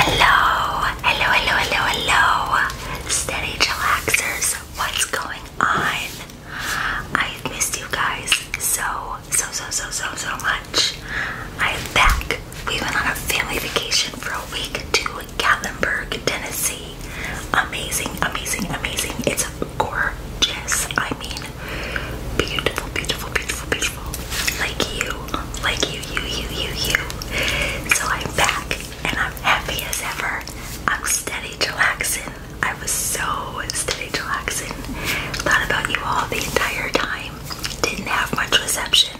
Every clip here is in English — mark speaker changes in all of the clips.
Speaker 1: Hello, hello, hello, hello, hello, steady chillaxers. What's going on? I've missed you guys so so, so, so, so, so much. I am back. We went on a family vacation for a week to Gatlinburg, Tennessee. Amazing, amazing, amazing. It's gorgeous. I mean, beautiful, beautiful, beautiful, beautiful. Like you, like you, you, you, you, you. So I'm back and I'm happy as ever. I'm steady relaxing. I was so steady chillaxing. Thought about you all the entire time didn't have much reception,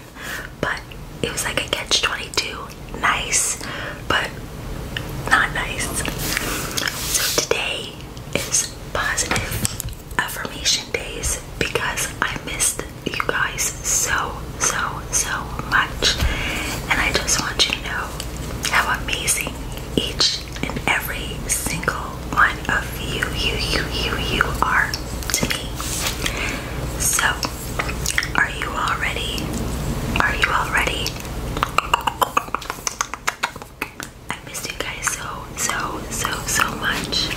Speaker 1: but it was like a catch 22. Nice, but not nice. So today is positive affirmation days because I missed you guys so, so, so much. And I just want you to know how amazing each and every single one of you, you, you, you, you are to me. So, are you all ready? Are you all ready? I miss you guys so, so, so, so much.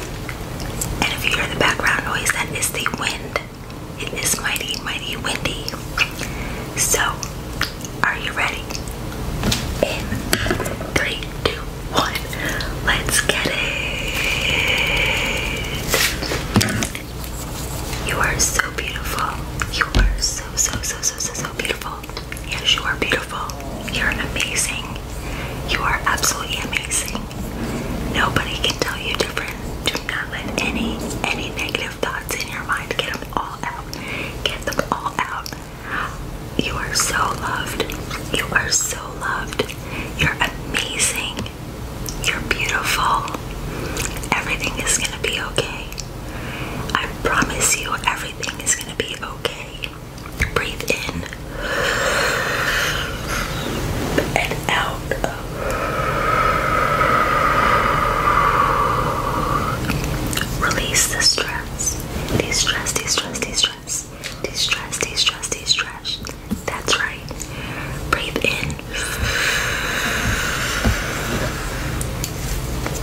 Speaker 1: And if you hear the background noise, that is the wind. It is mighty, mighty windy. So, are you ready? In three, two, one. Let's get it. You are so beautiful. You are so, so, so, so, so, so beautiful. Yes, you are beautiful. You're amazing. You are absolutely amazing. Nobody can tell you different. Do not let any, any negative thoughts in your mind get them all out. Get them all out. You are so loved. You are so loved. You're amazing. You're beautiful. Everything is going to be okay. I promise you, everything is going to be okay. Breathe in and out. Release the stress. De stress, de stress, de stress stress, de-stress, de-stress, de-stress. That's right. Breathe in.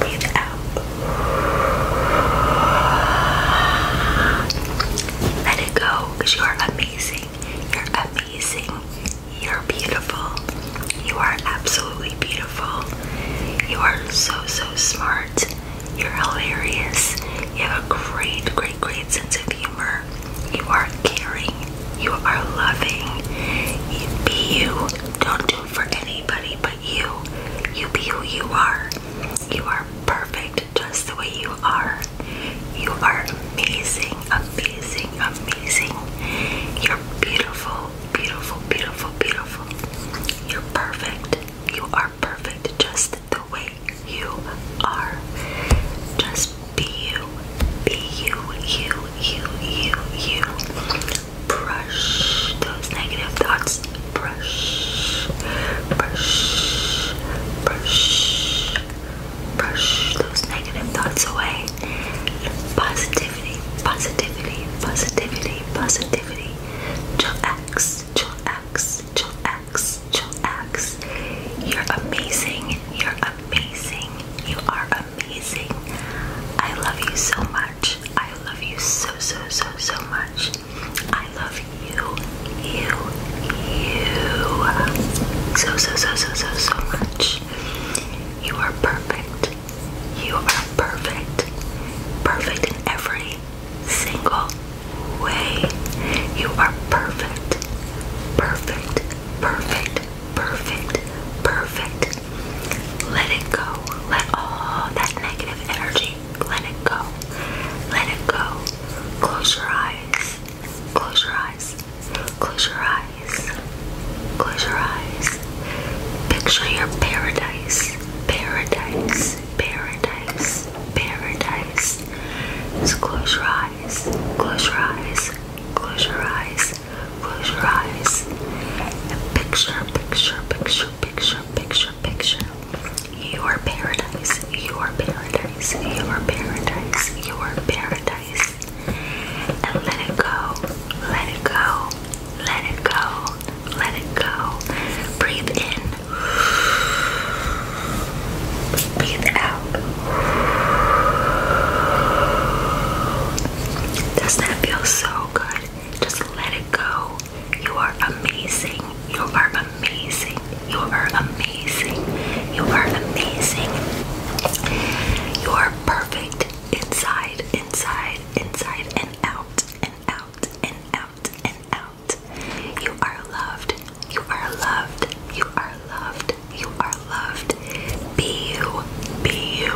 Speaker 1: Breathe out. Let it go, because you are amazing. You're amazing. You're beautiful. You are absolutely beautiful. You are so, so smart. You're hilarious. You have a great, great, great sense of humor. You are caring. You are loving. You be you. Don't do it for anybody but you. You be who you are. You are perfect just the way you are. You are amazing, amazing, amazing. You're beautiful, beautiful, beautiful, beautiful. You're perfect. You are perfect just the way you are. Just be you. Be you, you, you, you, Brush those negative thoughts. Brush, brush, brush, brush those negative thoughts away. Positivity, positivity, positivity, positivity. Chill X, chill X, chill X relax, chillax. You're amazing. You're amazing. You are amazing. I love you so much. I love you so, so, so, so much. I love you, you, you so, so, so, so, so, so much. You are perfect. You are perfect. Perfect in every single way. You are perfect, perfect, perfect, perfect, perfect. Let it go. Let all that negative energy, let it go. Let it go. Close your eyes. Close your eyes. Close your eyes. Close your eyes. Picture your paradise. Paradise. Paradise paradise, paradise. close your eyes, close your eyes, close your eyes, close your eyes. And picture, picture, picture, picture, picture, picture. Your paradise, your paradise, your paradise, your paradise. And let it go, let it go, let it go, let it go. Breathe in, Breathe out. does that feel so good? Just let it go. You are amazing. You are amazing. You are amazing. You are amazing. You are perfect inside, inside, inside, and out, and out, and out, and out out. You are loved. You are loved. You are loved. You are loved. Be you. Be you.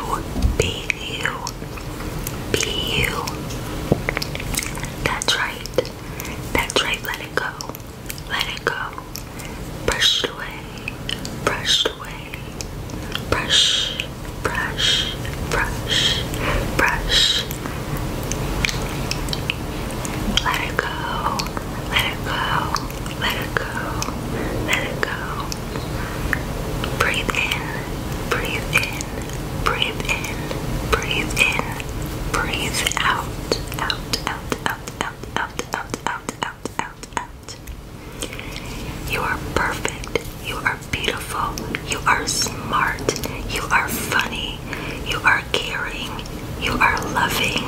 Speaker 1: Be you. Be you. That's right. That's right. Let it go. Let it go. Brush it away. Brush it away. Brush. Brush. Brush. Brush. Let it go. Let it go. Let it go. Let it go. Breathe in. Breathe in. Breathe in. Breathe in. Breathe out. Out. Out. Out. Out. Out. Out. Out. Out. Out. Out. You are perfect. You are beautiful. You are smart. You are funny. You are are caring, you are loving,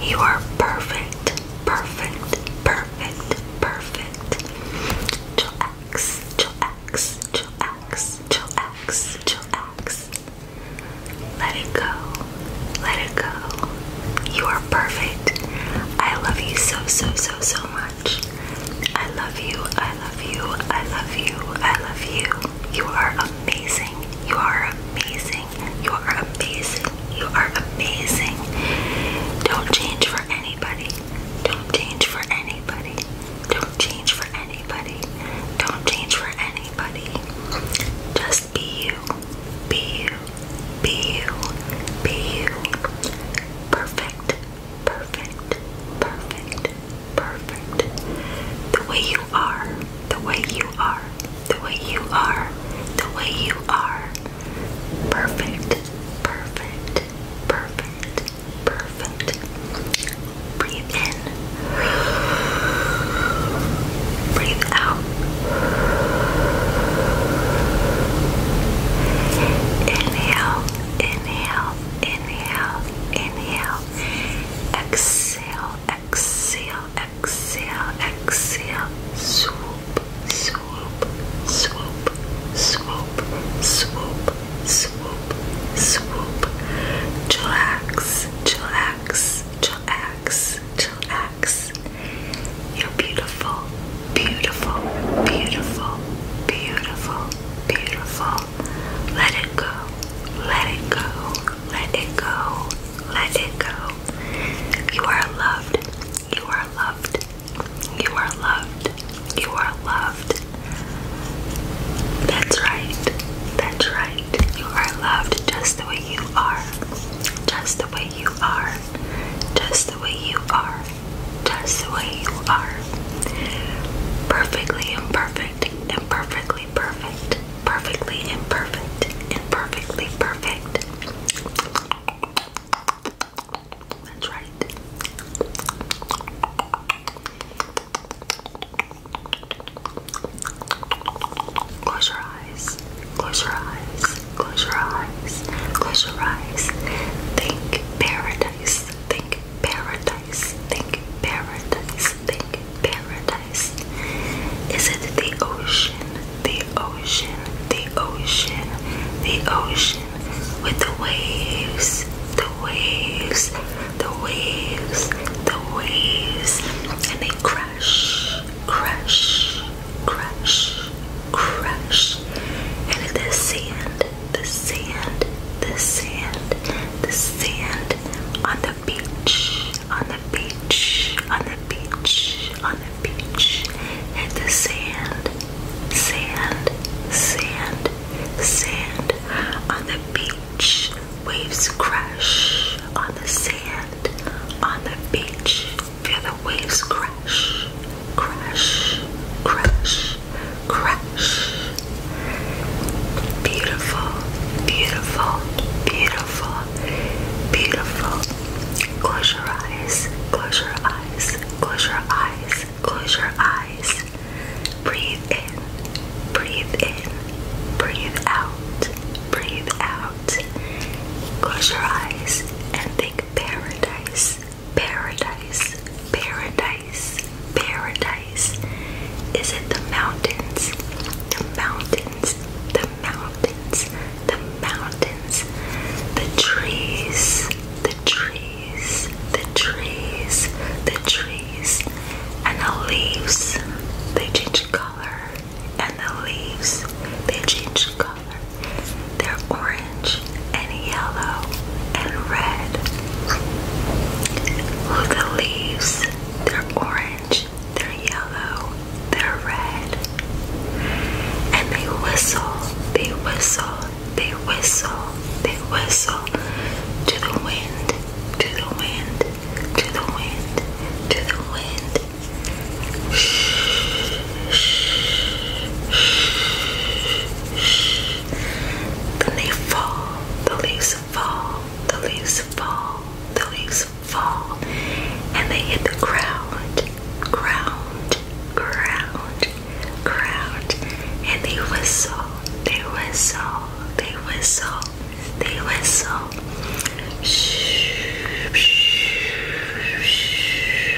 Speaker 1: you are perfect, perfect, perfect, perfect. Chillax, chillax, chillax, chillax, chillax. Let it go, let it go. You are perfect. I love you so, so, so, so much. I love you, I love you, I love you, I love you. You are amazing. You are amazing. You are amazing. You are amazing. Don't change for anybody. Don't change for anybody. Don't change for anybody. Don't change for anybody. Just be you. Be you. Be you. Be you. Perfect. Perfect. Perfect perfect. The way you are, the way you are, the way you are, the way you are. Perfect, perfect, perfect, perfect. Breathe in, breathe out. Inhale, inhale, inhale, inhale exhale, exhale, exhale, exhale, swoop, swoop, swoop, swoop, swoop, swoop, swoop, chillax, chillax, chillax, chillax. You're beautiful, beautiful, beautiful, beautiful, beautiful, let it go, let it go, let it go, let it go. You are loved, you are loved, you are loved, you are loved. That's right, that's right. You are loved just the way you are, just the way you are, just the way you are, just the way you are. Perfectly imperfect, imperfect perfectly perfect, perfectly imperfect, imperfectly perfect. That's right. Close your eyes. Close your eyes. Close your eyes. Close your eyes. Think paradise. Think paradise. Think paradise. Think paradise. Is it the ocean? The ocean. The ocean. The ocean. With the waves. The waves. The waves. The waves. And they crash. Crash. Crash. Crash. And the sand. The sand. The sand. The sand on the the beach, on the beach, on the beach, on the beach. Hit the sand, sand, sand, sand. On the beach, waves crash. On the sand, on the beach, feel the waves crash, crash, crash, crash. Beautiful, beautiful, beautiful, beautiful. Close your eyes, close your eyes, close your eyes, close your eyes. Breathe in, breathe in, breathe out, breathe out. Close your eyes and think paradise, paradise, paradise, paradise. Is it the mountains? The mountains, the mountains, the mountains, the trees, the trees, the trees, the trees, and the leaves. They change color, and the leaves, they change color. They're orange and yellow and red. Oh, the leaves, they're orange, they're yellow, they're red. And they whistle, they whistle, they whistle, they whistle to the wind, to the wind, to the wind, to the wind. Then they fall, the leaves fall, the leaves fall, the leaves fall, and they hit the ground, ground, ground, ground, and they whistle, they whistle, they whistle, they whistle. Shh, shh, shh.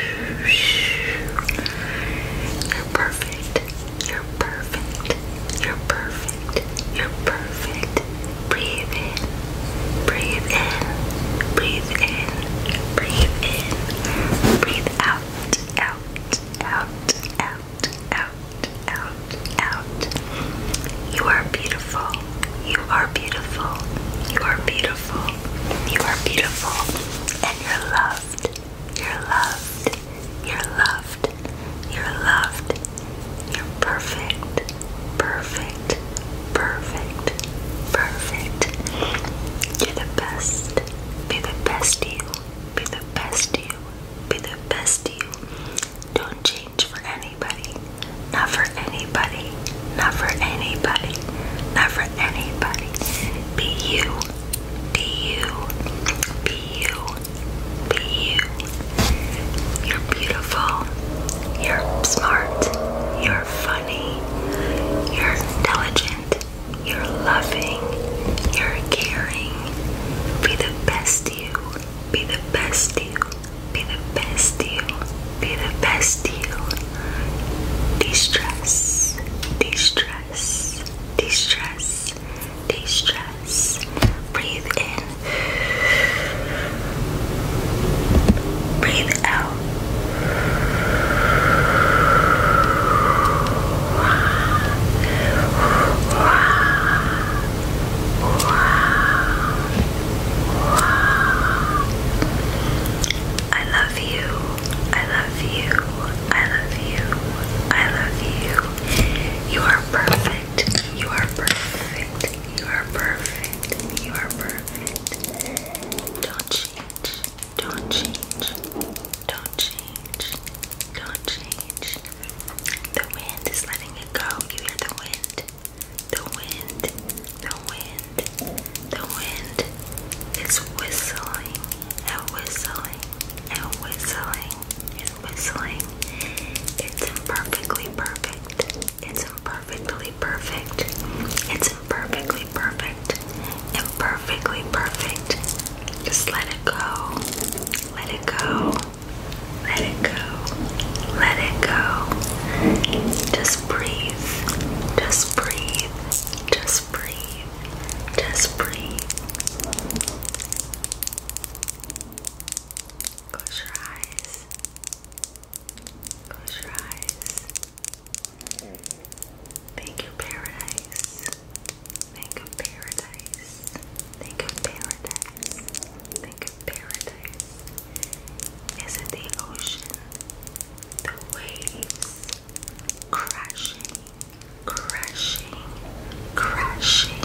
Speaker 1: you perfect. You're perfect. You're perfect. You're perfect. Breathe in. Breathe in. Breathe in. Breathe in. Breathe out. Out. Out. Out. Out. Out. Out. You are beautiful. You are beautiful. You are beautiful. You are beautiful. And you're loved. You're loved. You're loved. You're loved. You're perfect. Perfect. Perfect. Perfect. You're the best. Be the best you. Be the best you. Be the best you. Don't change for anybody. Not for anybody. Not for anybody. Not for anybody. Be you. Be you. Be you. Be you. You're beautiful. You're smart. You're funny. You're intelligent. You're loving. You're caring. Be the best you. Be the best you. Be the best you. Be the best you. De stress. De stress. De stress de-stress. Breathe in. Breathe out. I love you. I love you. I love you. I love you. You are perfect. You are perfect. You are perfect. You are perfect. Don't change. Don't change. Don't change. Don't change. The wind is letting it go. You hear the wind. The wind. The wind. The wind is whistling and whistling and whistling and whistling. It's imperfectly perfect. It's imperfectly perfect. It's imperfectly perfect. Imperfectly perfect. Just let it go. Let it go. Let it go. Let it go. Just breathe. Just breathe. Just breathe. Just breathe. Close your eyes. Close your eyes. Thank you, paradise. Thank you, paradise. Thank you, paradise. Thank you, paradise. Is it the ocean? The waves crashing, crashing, crashing,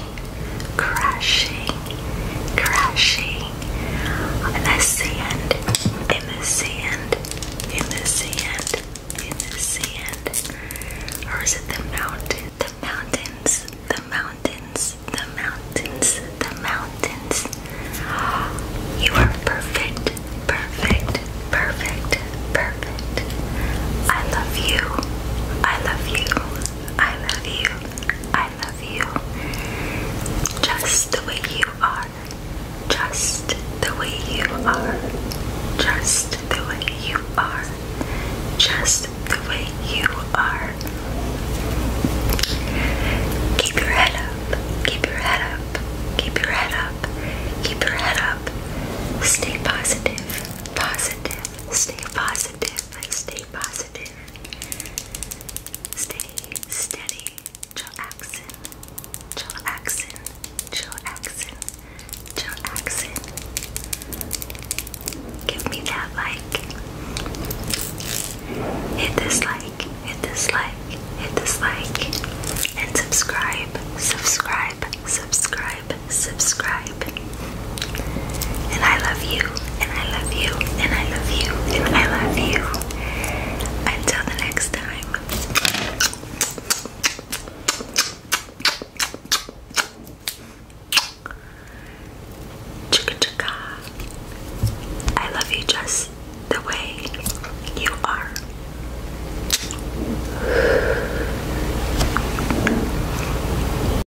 Speaker 1: crashing, crashing in the sand, in the sand, in the sand, in the sand. Or is it the mountain? The mountains, the mountains, the mountains, the mountains. You are perfect, perfect, perfect, perfect. I love you. I love you. I love you. I love you just the way you are, just the way you are, just the way you are, just the way you are. Keep your head up, keep your head up, keep your head up, keep your head up. Stay positive, positive, stay positive, stay positive. Steady, steady, chillaxin, chillaxin, chillaxin, chillaxin. Give me that like. Hit this like, hit this like, hit this like. And subscribe, subscribe, subscribe, subscribe. And I love you, and I love you, and I love you, and I love you. Until the next time. Chicka chicka. I love you just the way you are.